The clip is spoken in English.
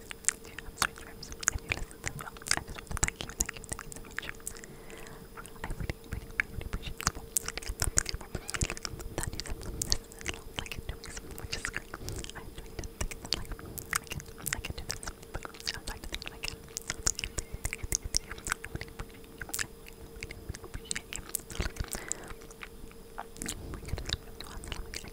I'm sorry, Trips, if you listen to well, I just want to thank you, thank you, thank you so much. I really, really, really appreciate the moment. That is as long as I can do it, which is great. I really didn't think that like, I can, I can do this, but I'm trying to think that I can. I really appreciate you. I really, really appreciate you. So, like, we could have to us, like, I